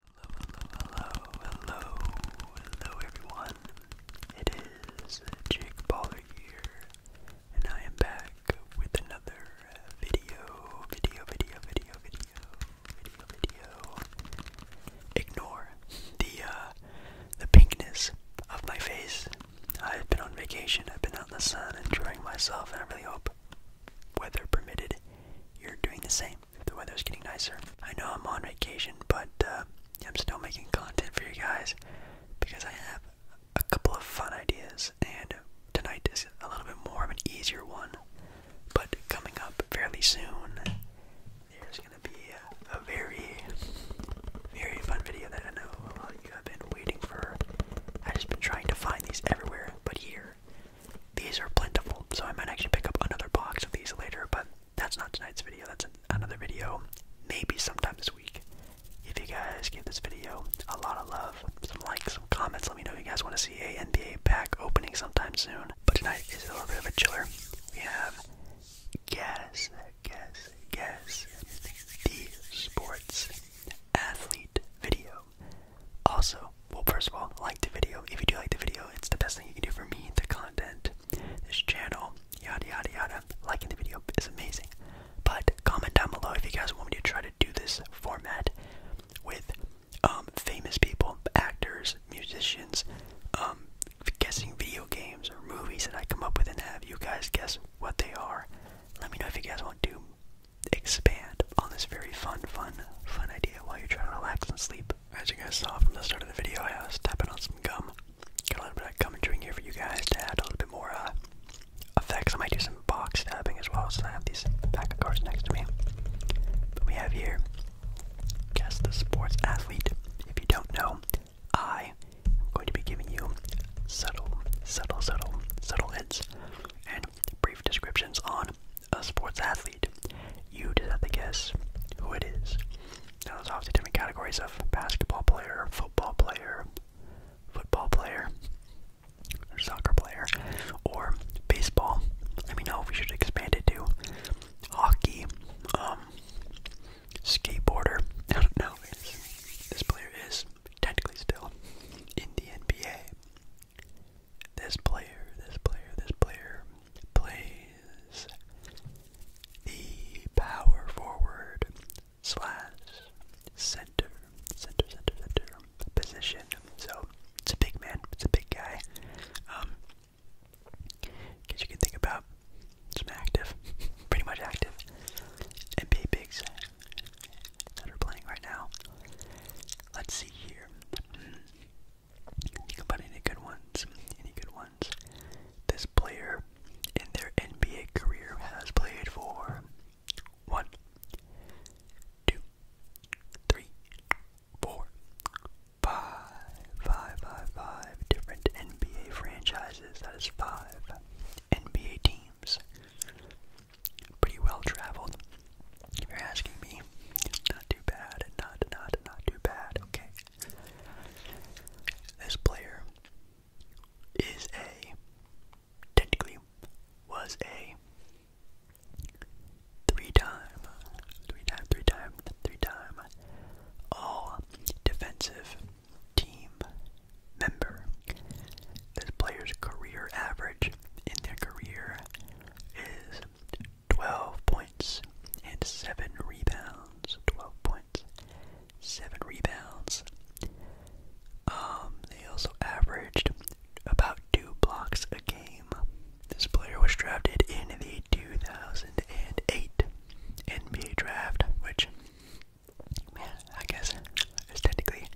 Hello, hello, hello, hello, everyone. It is Jake Baller here, and I am back with another video, video, video, video, video, video, video. Ignore the uh, the pinkness of my face. I've been on vacation. I've been out in the sun, enjoying myself, and I really hope, weather permitted, you're doing the same. The weather's getting nicer. I know I'm on vacation, but uh, I'm still making content for you guys because I have a couple of fun ideas, and tonight is a little bit more of an easier one. But coming up fairly soon, there's gonna be a, a very, very fun video that I know a lot of you have been waiting for. I've just been trying to find these everywhere, but here these are plentiful, so I might actually pick up another box of these later, but that's not tonight's video. That's another video, maybe sometime this week. If you guys give this video a lot of love, some likes, some comments, let me know if you guys want to see a NBA pack opening sometime soon. But tonight is a little bit of a chiller. We have Guess, Guess, Guess, the Sports Athlete video. Also, well, first of all, like the video. If you do like the video, it's the best thing you can do for me, the content, this channel, yada yada yada. Liking the video is amazing. But comment down below if you guys want me to try to do this format with um, famous people, actors, musicians, um, guessing video games or movies that I come up with and have you guys guess what they are. Let me know if you guys want to expand on this very fun, fun, fun idea while you're trying to relax and sleep as you guys saw from the start of the video, I was tapping on some gum. Got a little bit of gum chewing here for you guys to add a little bit more uh, effects. I might do some box stabbing as well, So I have these pack of cards next to me. But we have here, guess the sports athlete. If you don't know, I am going to be giving you subtle, subtle, subtle, subtle hints and brief descriptions on a sports athlete. You just have to guess who it is. Now, there's obviously different categories of basketball player, football player, football player, soccer player, or baseball. Let me know if we should expand it to hockey, um, skateboarder. I don't know. This player is technically still in the NBA. This player, this player, this player plays the power forward slash center, center, center, center position. So it's a big man, it's a big guy. Um, guess you can think about some active, pretty much active NBA bigs that are playing right now. Let's see here. Hmm. Think about any good ones. Any good ones. This player in their NBA career has played for one, two, three, four, five, five, five, five different NBA franchises. That is five NBA teams. Pretty well traveled. If you're asking me, too bad, not, not, not too bad, okay? This player is a, technically, was a three-time, three-time, three-time, three-time all-defensive team member. This player's career average in their career is 12 points and 7 rebounds. 12 points, 7 rebounds. Um, they also averaged about 2 blocks a game. This player was drafted in the 2008 NBA draft, which, man, I guess is technically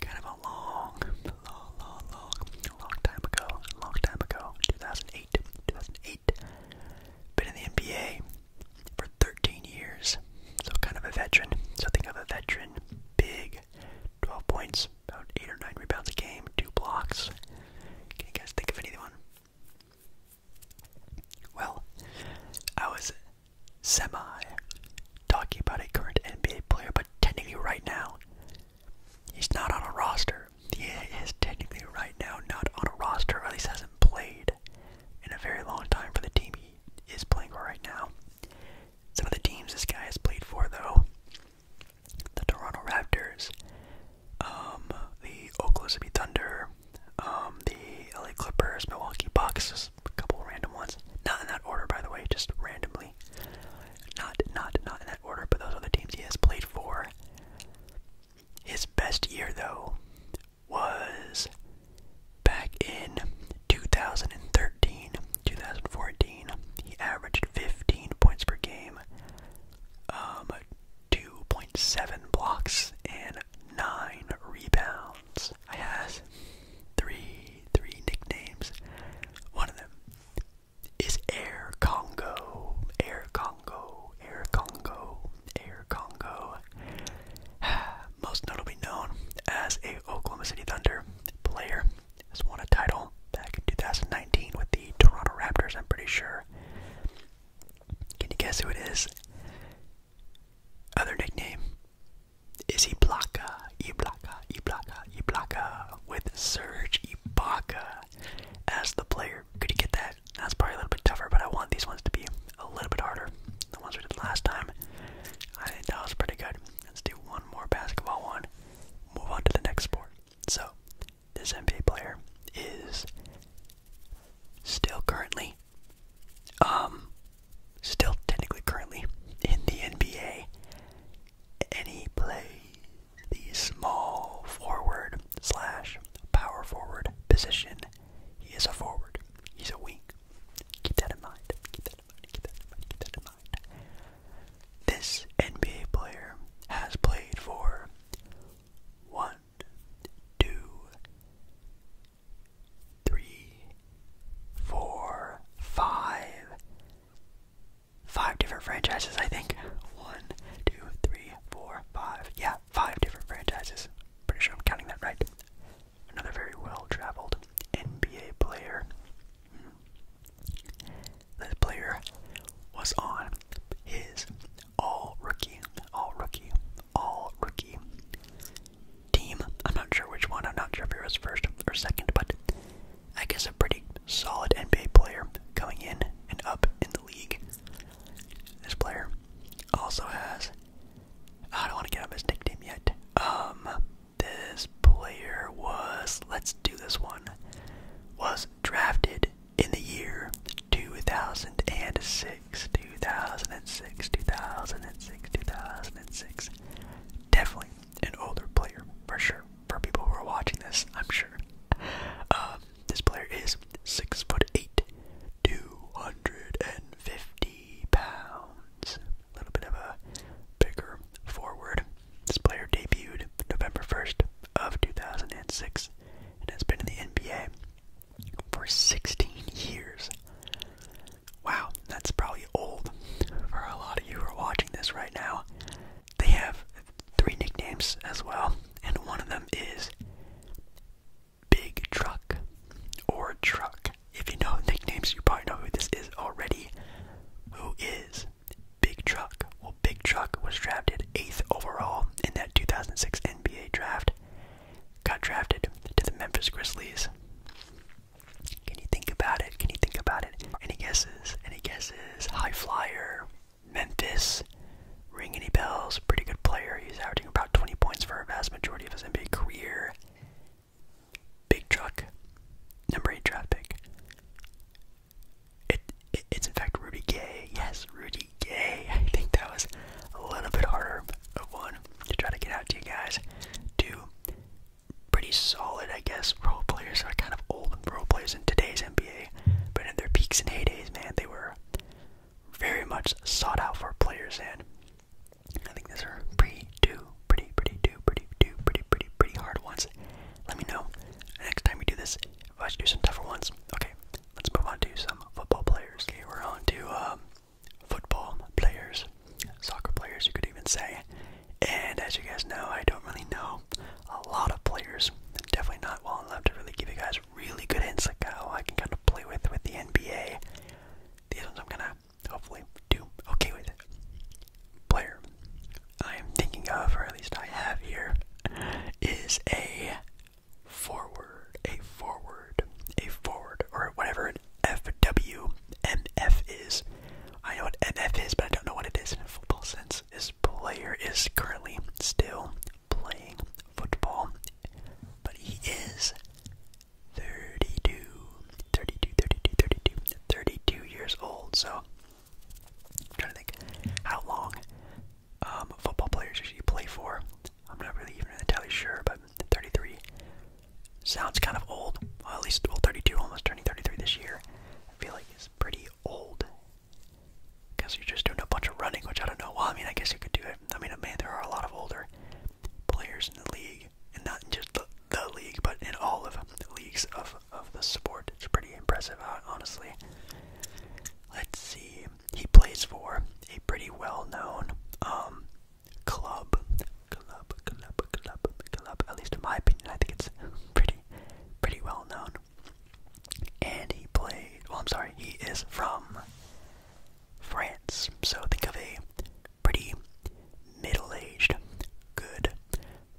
kind of a long, long, long, long, long time ago. Long time ago, 2008. 2008, 2008. Been in the NBA for 13 years, so kind of a veteran. So of a veteran, big, 12 points, about 8 or 9 rebounds a game, 2 blocks. Can you guys think of anyone? Well, I was semi talking about a current NBA player, but technically right now, he's not on a roster he is technically right now not on a roster, at least hasn't played in a very long time for the team he is playing for right now. Some of the teams this guy has played for, though the Toronto Raptors, um, the Oklahoma Thunder, um, the LA Clippers, Milwaukee Bucks, just a couple random ones. Not in that order, by the way, just randomly. Not, not, not in that order, but those are the teams he has played for. His best year, though, was back in 2013, 2014. He averaged 15 points per game, um, 2.7 blocks, and 9 rebounds. I has three, three nicknames. One of them, is Air Congo. Air Congo. Air Congo. Air Congo. Most notably known as a Oklahoma City Thunder player, has won a title back in 2019 with the Toronto Raptors. I'm pretty sure. Can you guess who it is? Other nickname is Ibaka. Ibaka. Ibaka. Ibaka. With Serge Ibaka as the player could you get that? That's probably a little bit tougher, but I want these ones to be a little bit harder. The ones we did last time, I think that was pretty good. Let's do one more basketball one. Move on to the next sport. So, this NBA player is still currently, um, still technically currently in the NBA, Any play? the small forward slash power forward position. He is a forward. He's a wing. Keep that in mind. Keep that in mind. Keep that in mind. Keep that in mind. This NBA player has played for one, two, three, four, five, five different franchises, I think. One, two, three, three, four, five. Yeah, five different franchises. Pretty sure I'm counting that right. Another very well traveled NBA player. Hmm. This player was on his all rookie, all rookie, all rookie team. I'm not sure which one, I'm not sure if he was first or second, but I guess a pretty solid NBA player coming in and up in the league. This player also has. I don't want to get him his nickname yet. Um, this player was. Let's do this one. Was drafted in the year 2006. 2006. 2006. 2006. Definitely an older player for sure. For people who are watching this, I'm sure. Um, this player is six foot eight, two hundred and fifty pounds. A little bit of a bigger forward. This player debuted November first of two thousand and six, and has been in the NBA for sixteen years. Wow, that's probably old for a lot of you who are watching this right now. They have three nicknames as well, and one of them is Big Truck or Truck. If you know nicknames, you probably know who this is already. Who is Big Truck? Well, Big Truck was drafted 8th overall in that 2006 NBA draft. Got drafted to the Memphis Grizzlies. Can you think about it? Can you think about it? Any guesses? Any guesses? High flyer, Memphis. Ring any bells? Pretty good player. He's averaging about 20 points for a vast majority of his NBA career. Big truck. Number 8 draft pick. It, it's in fact Rudy Gay. Yes, Rudy Gay. I think that was a little bit harder one to try to get out to you guys. Two, pretty solid, I guess, role players are kind of old role players in today's NBA, but in their peaks and heydays, man, they were very much sought out for players and I think these are pretty do pretty pretty do pretty do pretty pretty pretty hard ones. Let me know next time we do this if I should do some tougher ones. Okay, let's move on to some football players. Okay, we're on to um, football players, soccer players you could even say. And as you guys know, I don't really know a lot of players. I'm definitely not well enough to really give you guys really good insight. Oh, I can kind of play with with the NBA. These ones I'm gonna hopefully do okay with. Player I am thinking of, or at least I have here, is a forward, a forward, a forward, or whatever an FWMF is. I know what MF is, but I don't know what it is in a football sense. This player is currently still playing football, but he is 32, years old. So, I'm trying to think how long um, football players usually play for. I'm not really even entirely sure, but 33 sounds kind of old. Well, at least old 32, almost turning 33 this year. I feel like he's pretty old because you're just doing a bunch of running, which I don't know. Well, I mean, I guess you could do it. I mean, man, there are a lot of older players in the league, and not in just the, the league, but in all of the leagues of, of the sport. It's pretty impressive, honestly. Let's see. He plays for a pretty well-known um, club. Club, club, club, club. At least in my opinion, I think it's pretty, pretty well-known. And he played, well, I'm sorry, he is from France. So think of a pretty middle aged, good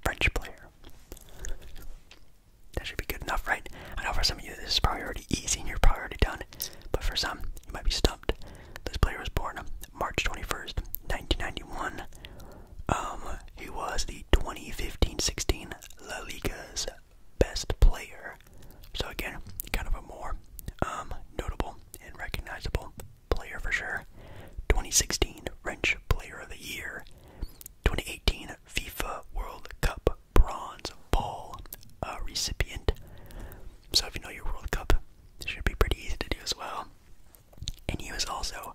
French player. That should be good enough, right? I know for some of you this is probably already easy and you're probably already done, but for some, you might be stumped. This player was born March 21st, 1991. Um, he was the 2015-16 La Liga's best player. So again, kind of a more um, notable and recognizable player for sure. 2016 Wrench Player of the Year. 2018 FIFA World Cup Bronze Ball uh, recipient. So if you know your World Cup, this should be pretty easy to do as well. And he was also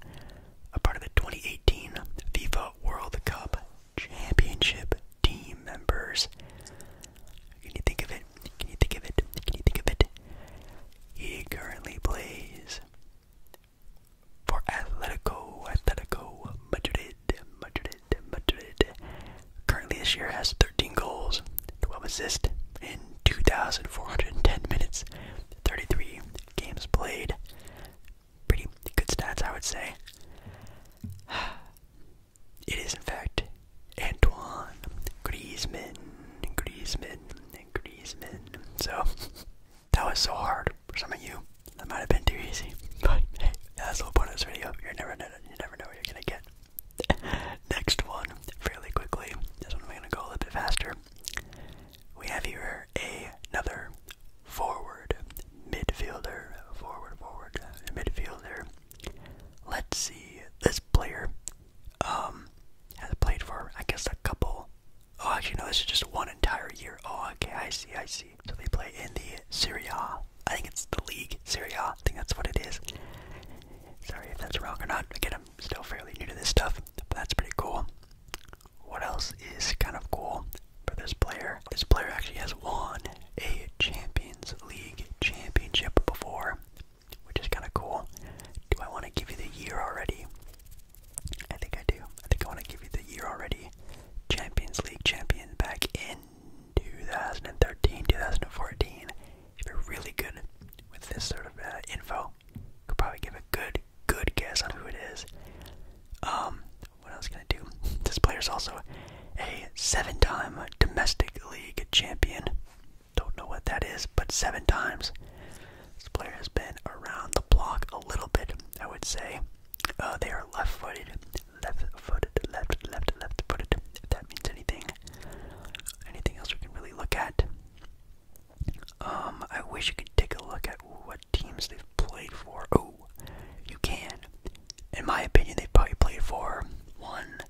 a part of the 2018 FIFA World Cup championship team members. Can you think of it? Can you think of it? Can you think of it? He currently plays for Atletico, Atletico Madrid, Madrid, Madrid. Currently, this year has 13 goals, 12 assists in 2,410 minutes, 33 games played. Pretty good stats, I would say. It is, in fact, Antoine Griezmann. Griezmann. Griezmann. So, that was so hard for some of you. That might have been too easy. But hey, that's the whole point of this video. You never know, you never know what you're going to get. Next one, fairly quickly. This one I'm going to go a little bit faster. We have here another forward, midfielder, forward, forward, midfielder. Let's see, this player um, has played for, I guess, a couple. Oh, actually, no, this is just one entire year. Oh, okay, I see, I see. So they play in the Serie A. I think it's the league, Serie A. I think that's what it is. Sorry if that's wrong or not. Again, I'm still fairly new to this stuff, but that's pretty cool. What else is kind of cool? for this player. This player actually has won a Champions League championship before, which is kind of cool. Do I want to give you the year already? I think I do. I think I want to give you the year already. Champions League champion back in 2013, 2014. If you're really good with this sort of uh, info, you could probably give a good, good guess on who it is. Um, what else can I do? This player is also a seven time domestic league champion. Don't know what that is, but seven times. This player has been around the block a little bit, I would say. Uh, they are left footed, left footed, left, left, left footed, if that means anything. Anything else we can really look at? Um, I wish you could take a look at what teams they've played for. Oh, you can. In my opinion, they probably played for one,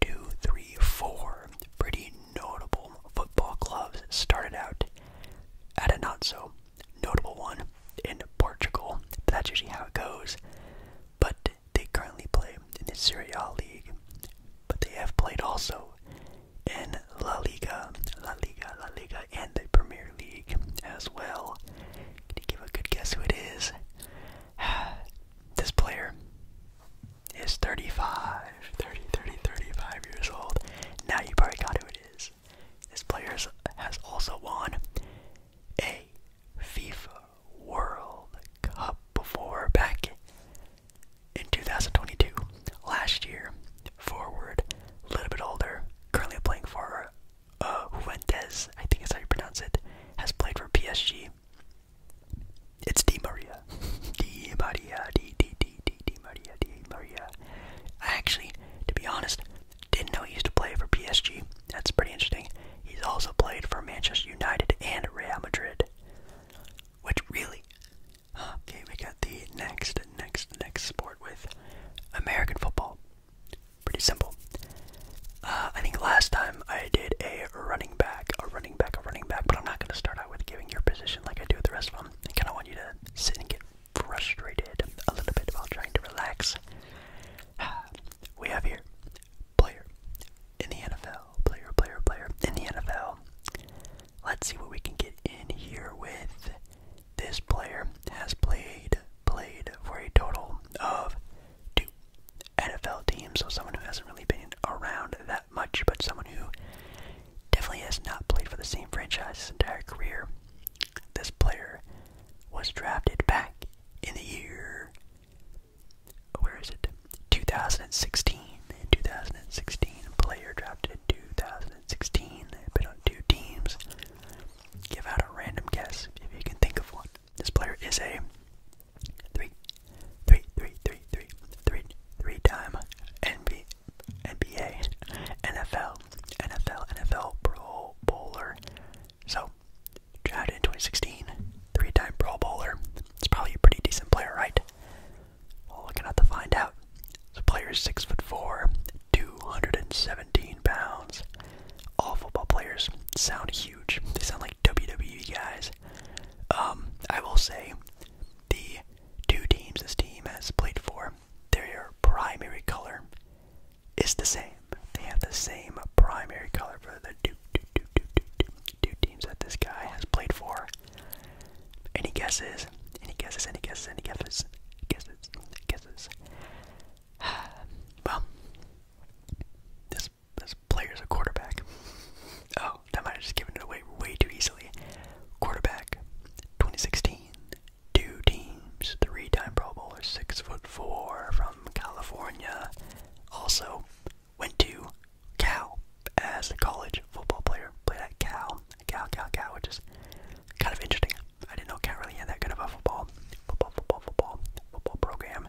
two, three, four pretty notable football clubs. Started out at a not so notable one in Portugal, that's usually how it goes. But they currently play in the Serie A league, but they have played also in La Liga, La Liga, La Liga, and the Premier League as well. Can you give a good guess who it is? this player is 35, years old. Now you probably got who it is. This player has also won a FIFA World Cup before back in 2022. Last year, forward, a little bit older, currently playing for uh, Juventus, I think is how you pronounce it, has played for PSG. It's Di Maria. Di Maria, Di, Di, Di, Di, Di Maria, Di Maria. I actually, to be honest, didn't know he used to play for PSG. That's pretty interesting. He's also played for Manchester United and Real Madrid. Which really. Okay, we got the next, next, next sport with American football. Pretty simple. Uh, I think last time I did a running back, a running back, a running back, but I'm not going to start out with giving your position like I do with the rest of them. I kind of want you to sit and get frustrated a little bit while trying to relax. We have here player in the NFL, player, player, player in the NFL. Let's see what we can get in here with. This player has played played for a total of two NFL teams. So someone who hasn't really been around that much, but someone who definitely has not played for the same franchise his entire career. This player was drafted back in the year. Where is it? 2016. In 2016, player drafted in 2016. Been on two teams. Give out a random guess if you can think of one. This player is a three, three, three, three, three, three, three-time NBA, NFL, NFL, NFL Pro Bowler. So, drafted in 2016, three-time Pro Bowler. It's probably a pretty decent player, right? Well, we're to find out. The player is six foot four, 270 17 pounds. All football players sound huge. They sound like WWE guys. Um, I will say the two teams this team has played for, their primary color is the same. They have the same primary color for the two, two, two, two, two, two, two teams that this guy has played for. Any guesses? Any guesses? Any guesses? Any guesses? Guesses? Guesses? Well, this this is a quarterback. Oh, that might have just given it away way too easily. Quarterback, 2016, two teams, three-time Pro Bowler, six foot four from California. Also went to Cal as a college football player. Played at Cal, Cal, Cal, Cal, which is kind of interesting. I didn't know Cal really had that kind of a football, football, football, football, football program.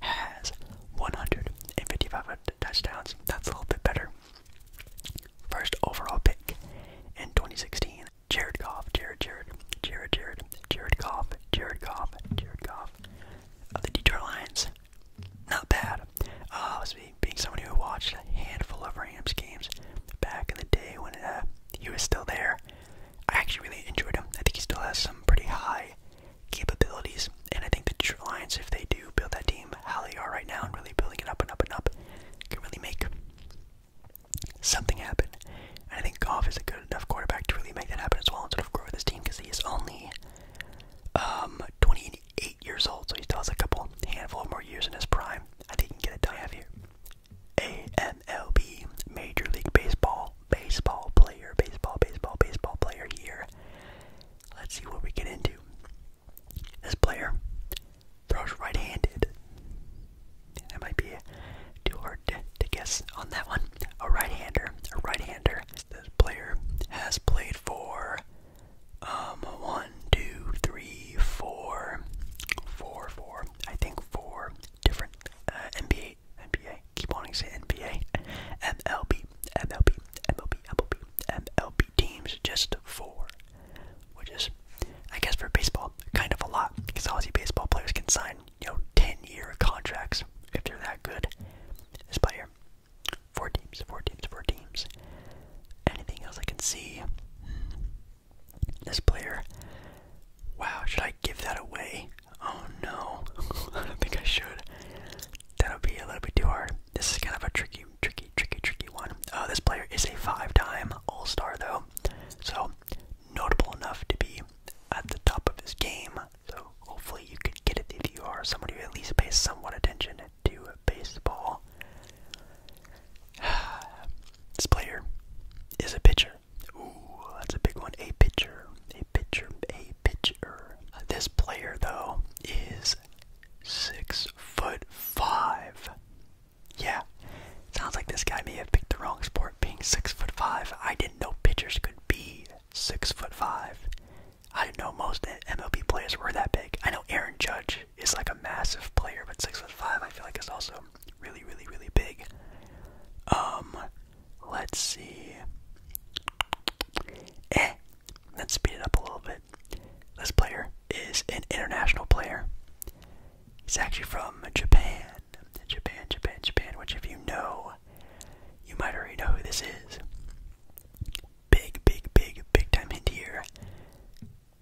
has 155 touchdowns. That's a little bit better. First overall pick in 2016. Jared Goff, Jared, Jared, Jared, Jared, Jared Goff, Jared Goff, Jared Goff of the Detroit Lions. Not bad. Uh, being someone who watched a handful of Rams games back in the day when uh, he was still there, I actually really enjoyed him. I think he still has some pretty high capabilities. And I think the Lions, if they do build that team how they are right now and really building it up and up and up, can really make something happen. And I think Golf is a good enough quarterback to really make that happen as well and sort of grow this team because he is only um, 28 years old, so he still has a couple handful of more years in his prime. I think he can get it done. here AMLB, Major League Baseball baseball player, baseball, baseball, baseball player here. Let's see what we get into. This player throws right handed. That might be too hard to, guess on that one. A right hander, a right hander. This player has played for um one, two, three, four, four, four. I think four different uh, NBA NBA NBA. Keep wanting to say NBA. MLB, MLB, MLB, MLB, MLB teams just four. Which is, I guess, for baseball, kind of a lot. Because obviously, baseball players can sign, you know, 10 year contracts if they're that good. This player, four teams, four teams, four teams. Anything else I can see? This player. Wow, should I give that away? Oh no. I don't think I should that'll be a little bit too hard. This is kind of a tricky, tricky, tricky, tricky one. Uh, this player is a five-time All-Star though, so notable enough to be at the top of his game. So hopefully you could get it if you are someone who at least pays somewhat attention to baseball. this player is a pitcher. Ooh, that's a big one. A pitcher a pitcher, a pitcher. Uh, this player though is six foot five. Yeah, sounds like this guy may have picked the wrong sport. Being six foot five, I didn't know pitchers could be six foot five. I didn't know most MLB players were that big. I know Aaron Judge is like a massive player, but six foot five, I feel like is also really, really, really big. Um, let's see. Eh, Let's speed it up a little bit. This player is an international player. He's actually from Japan. Japan, Japan, Japan, which if you know, you might already know who this is. Big, big, big, big time hint here.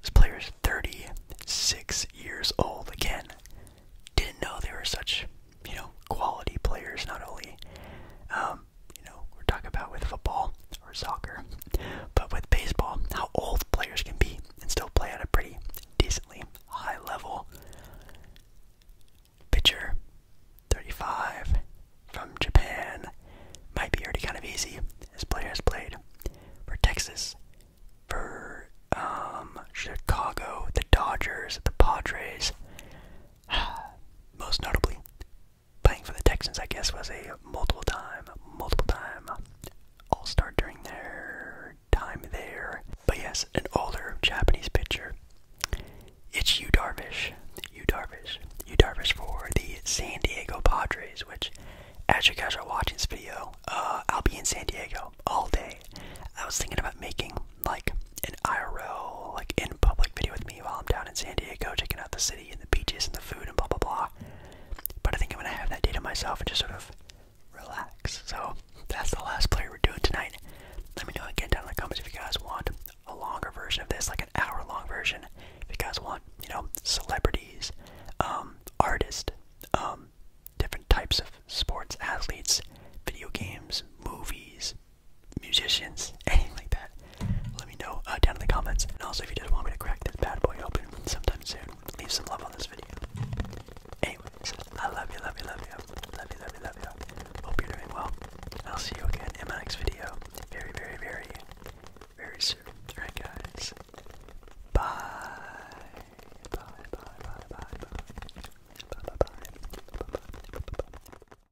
This player is 36 years old. Again, didn't know there were such, you know, quality players, not only. Um, um, you know, we're talking about with football or soccer, but with baseball, how old players can be and still play at a pretty decently high level. Pitcher 35 from Japan might be already kind of easy. This player has played for Texas, for um, Chicago, the Dodgers, the Padres, most notably playing for the Texans, I guess, was a multiple time, multiple time all star during their time there. But yes, an older Japanese pitcher. It's Yu Darvish. Yu Darvish. Yu Darvish for the San Diego Padres, which, as you guys are watching this video, uh, I'll be in San Diego all day. I was thinking about making like an IRL, like in public video with me while I'm down in San Diego checking out the city and the beaches and the food and blah blah blah. But I think I'm gonna have that day to myself and just sort of relax. So that's the last play we're doing tonight. Let me know again down in the comments if you guys want a longer version of this, like an hour long version. If you guys want, you know, celebrities, um, artists, um, different types of sports, athletes, video games, movies, musicians, anything like that, let me know uh, down in the comments. And also, if you just want me to crack this bad boy open sometime soon, leave some love on this video. Anyways, I love you, love you, love you, love you, love you, love you. Hope you're doing well. I'll see you again in my next video, very, very, very, very soon. Alright, guys. Bye. Bye. Bye. Bye. Bye. Bye. Bye. Bye. Bye. Bye. Bye. Bye.